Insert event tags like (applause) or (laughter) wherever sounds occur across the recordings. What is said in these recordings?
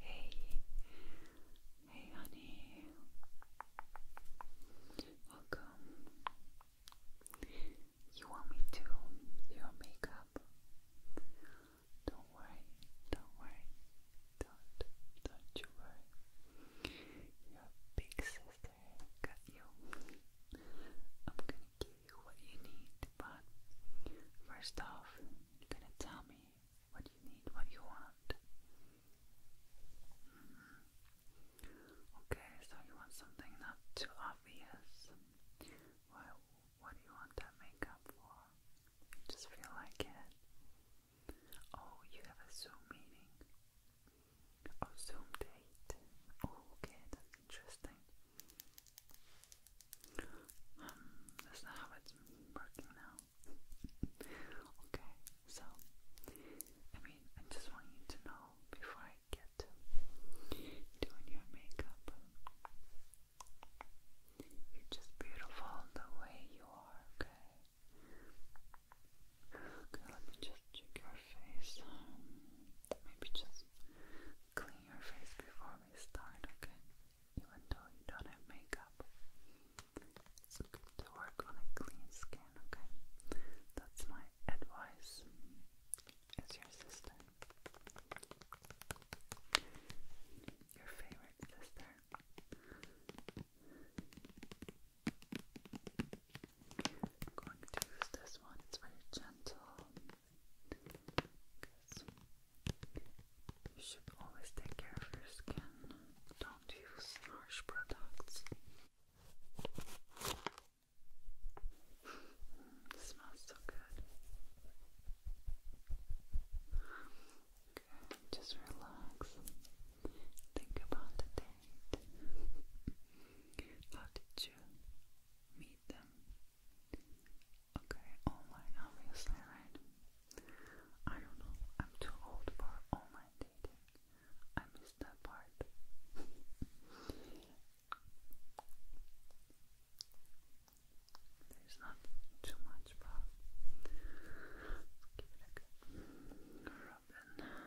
Hey, hey, honey. Welcome. You want me to do your makeup? Don't worry, don't worry, don't, don't you worry. Your big sister got you. I'm gonna give you what you need, but first off, you're gonna tell me what you need, what you want. Mm-hmm. Okay, so you want something not too obvious. Well, what do you want that makeup for? just feel like it. Oh, you have a Zoom meeting. Oh, Zoom date. Oh, okay, that's interesting. Um, that's how it's working now. okay, so I mean, I just want you to know before I get doing your makeup, you're just beautiful the way you are. Okay. Okay, let me just check your face. Um, maybe just clean your face before we start, okay? Even though you don't have makeup, to work on a clean skin, okay? That's my advice as your sister. Your favorite sister. I'm going to use this one, it's very gentle you should always take care of your skin. Don't use harsh products. smells so good. just relax. Think about the date. How did you meet them? Okay, online obviously, right? I don't know. I'm too old for online dating. I missed that part. There's not too much, but let's give it a go. Robin.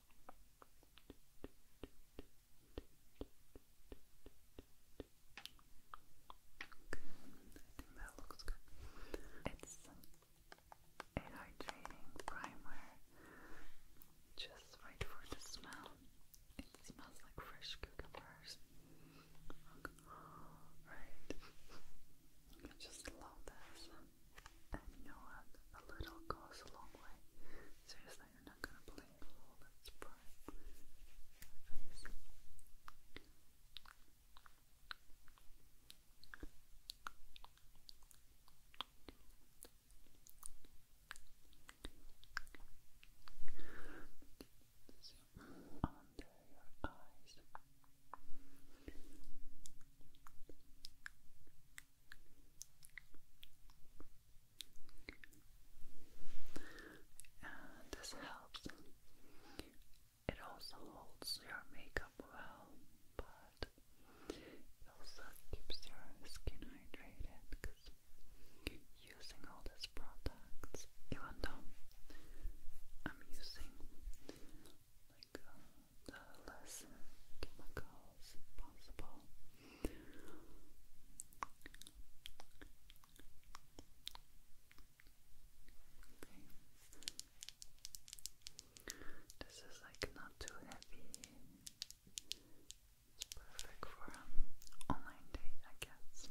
think that looks good. It's a hydrating primer, just right for the smell. It smells like fresh cucumbers. Right. I just love this. And you know what? A little goes a long way. Seriously, you're not gonna believe all that's prime under your eyes this helps. It also holds your makeup well, but it also keeps your skin hydrated because using all these products, even though I'm using like uh, the less chemicals possible. Okay. This is like not too heavy. It's perfect for an online date, I guess.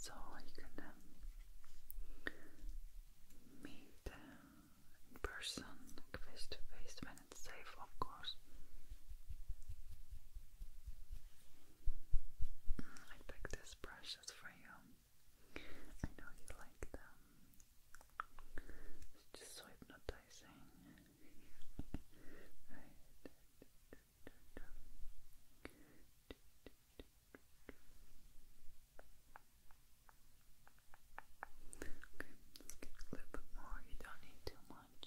So you can um, meet in person, face to face, when it's safe, of course. Mm, I picked these brushes for you. I know you like them. It's just hypnotizing. a little bit more. You don't need too much.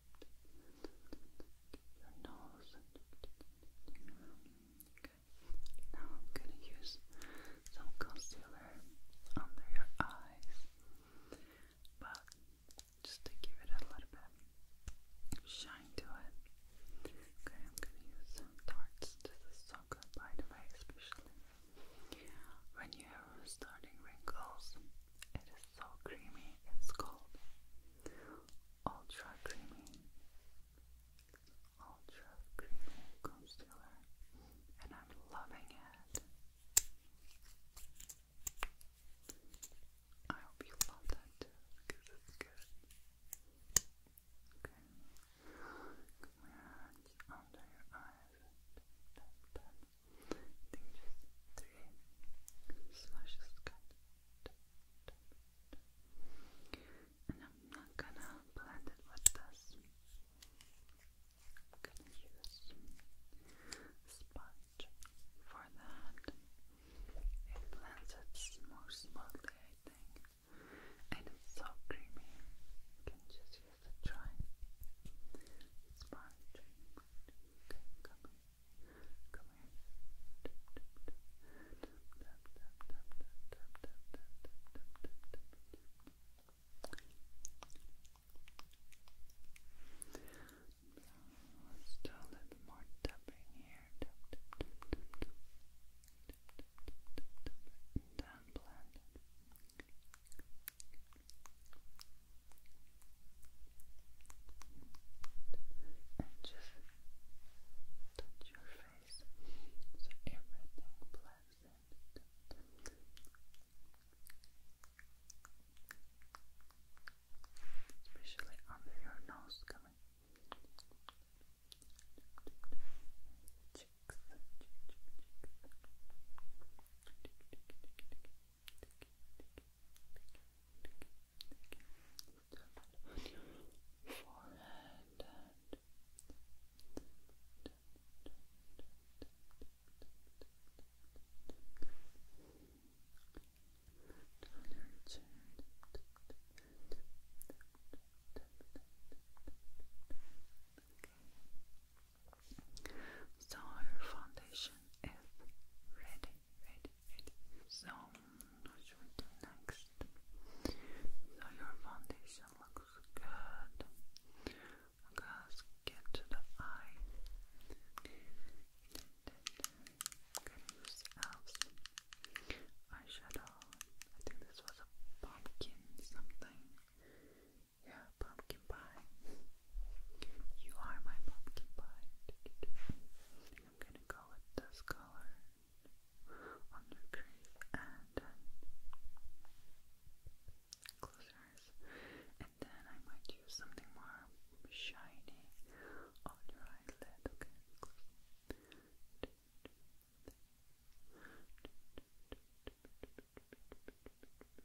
your nose. Okay. Now I'm gonna use some concealer under your eyes, but just to give it a little bit shine to it. Okay, I'm gonna use some Tarts. This is so by the way, especially when you are starting wrinkles is so creamy, it's called Ultra Creamy Ultra Creamy Concealer, and I'm loving it. I hope you love that too, because it's good. Okay, come here, it's under your eyes. That, that. I think and I'm not gonna blend it with this. I'm gonna use sponge for that. It blends it more smoothly, I think. And it's so creamy. You can just use a dry sponge. Okay, coming Come here. a little more tapping here. Down blend and just touch your face so everything blends Especially under your nose coming your forehead and down chin so your foundation is ready, ready, so, next? So, your foundation looks good. Let's get to the eye. Can use elves eyeshadow. I think this was a pumpkin something. Yeah, pumpkin pie. You are my pumpkin pie. I'm gonna go with this color on your crease and close your eyes. And then I might use something more shiny on your eyelid. Okay,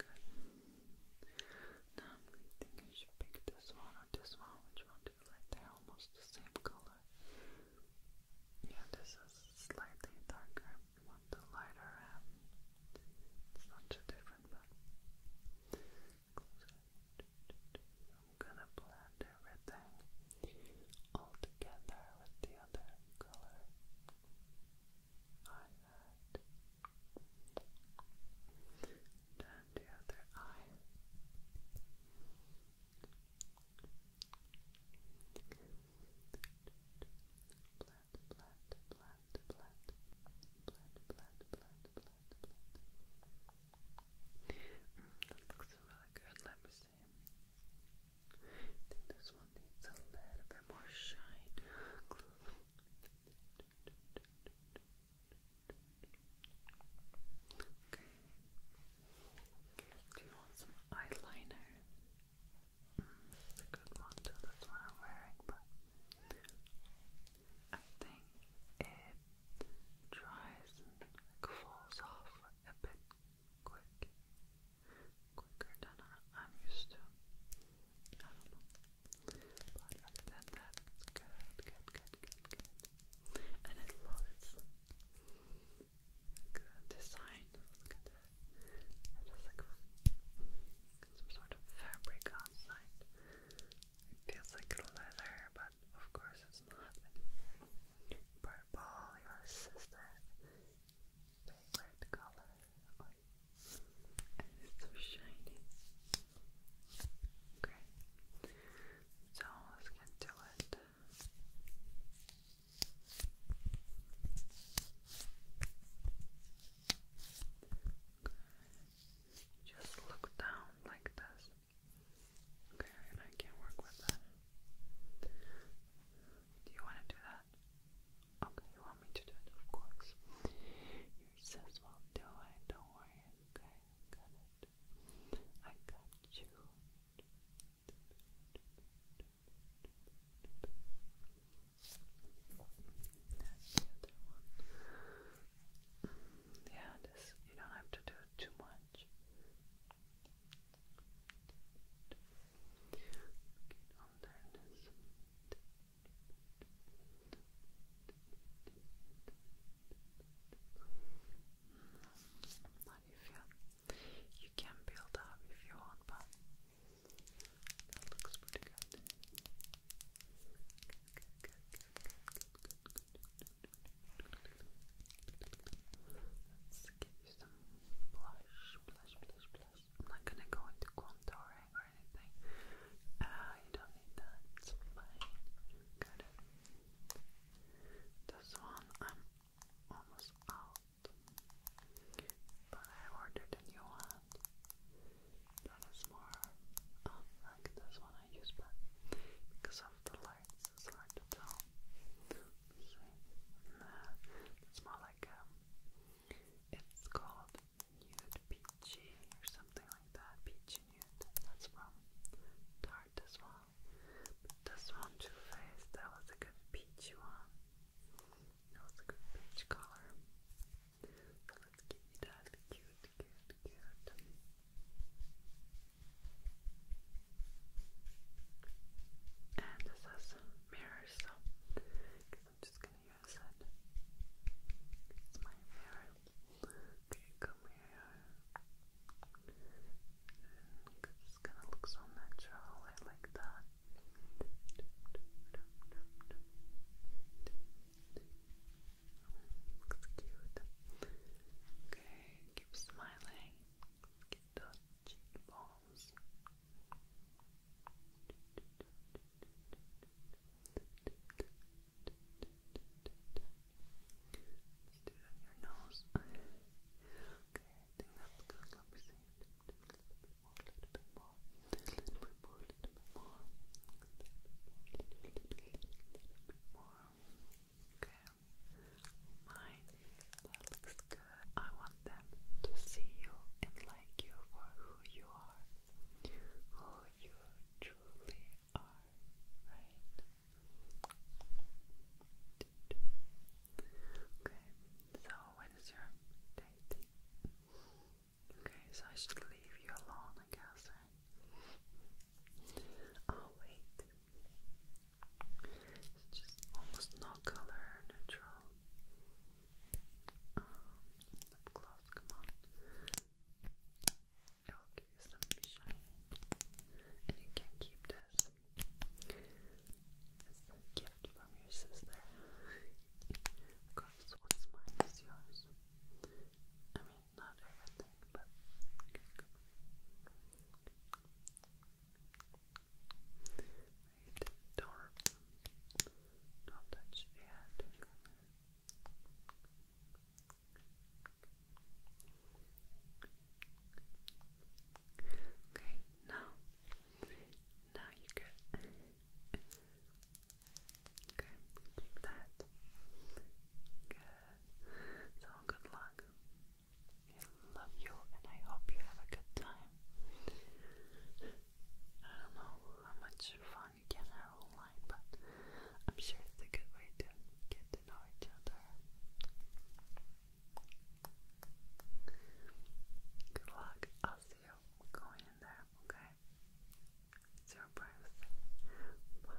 Good. Now I'm thinking you should pick this one or this one. Which one do you like? They're almost the same color. Yeah, this is slightly darker. You want the lighter It's not too different, but I'm gonna blend everything all together with the other color eyelid and the other eye. Blend, blend, blend, blend, blend, blend, blend, blend, blend. that looks really good. Let think this one needs a little bit more shine. Okay. Do you want some eyeliner? it's a good one too, that's what I'm wearing, but I think it dries and falls off a bit quicker than I'm used to. I don't know. But other than that, it's good, good, good, good, good. And I love it. Good design. Look at that. It has like some sort of fabric outside. It feels like leather, but of course it's not. Purple, your sister favorite color, and it's so shiny. Okay, so let's get to it. Just look down like this. Okay, and I can work with that. Do you want to do that? that? Okay, you want me to do it, of course. Your sis will do it, don't worry, okay? got it. I got you. Yeah, this you don't have to do too much. How you can build up if you want, but that looks pretty good just some blush, blush, blush, blush. I'm not gonna go into contouring or anything. Uh, you don't need that, Good. This one I'm almost out, but I ordered a new one that is more like this one I use, but because of the lights, it's hard to tell. No, it's more like um, it's called nude peachy or something like that. Peachy nude. That's from Tarte as well. But one, Too Faced, that was a good peachy one. That was a good peach color. let's give you that cute, cute, cute. And this has mirrors, so I am just gonna use it. It's my mirror. Okay, come here. It's gonna look so natural. I like that. Looks cute. Okay, keep smiling. Get the cheekbones. let it on your nose. Okay, I think that's good. a little bit more, a little bit more, a little bit more, a little bit more. Okay. My, that looks good. I want them to see you and like you for who you are. Who you truly are, right? Okay, so what is your date? Okay, so I should leave you alone, I guess, right? Oh, wait. It's just almost no color, neutral. Um, lip come on. It will give you some shine. And you can keep this. It's a gift from your sister. of what's mine is yours. I mean, not everything, but. Right, don't, don't touch the Okay, now, now you good. (laughs) Okay, keep that. Good. So good luck. I love you and I hope you have a good time. I don't know how much fun you can have online, but I'm sure it's a good way to get to know each other. Good luck. I'll see you going in there, okay? Surprise. Bye.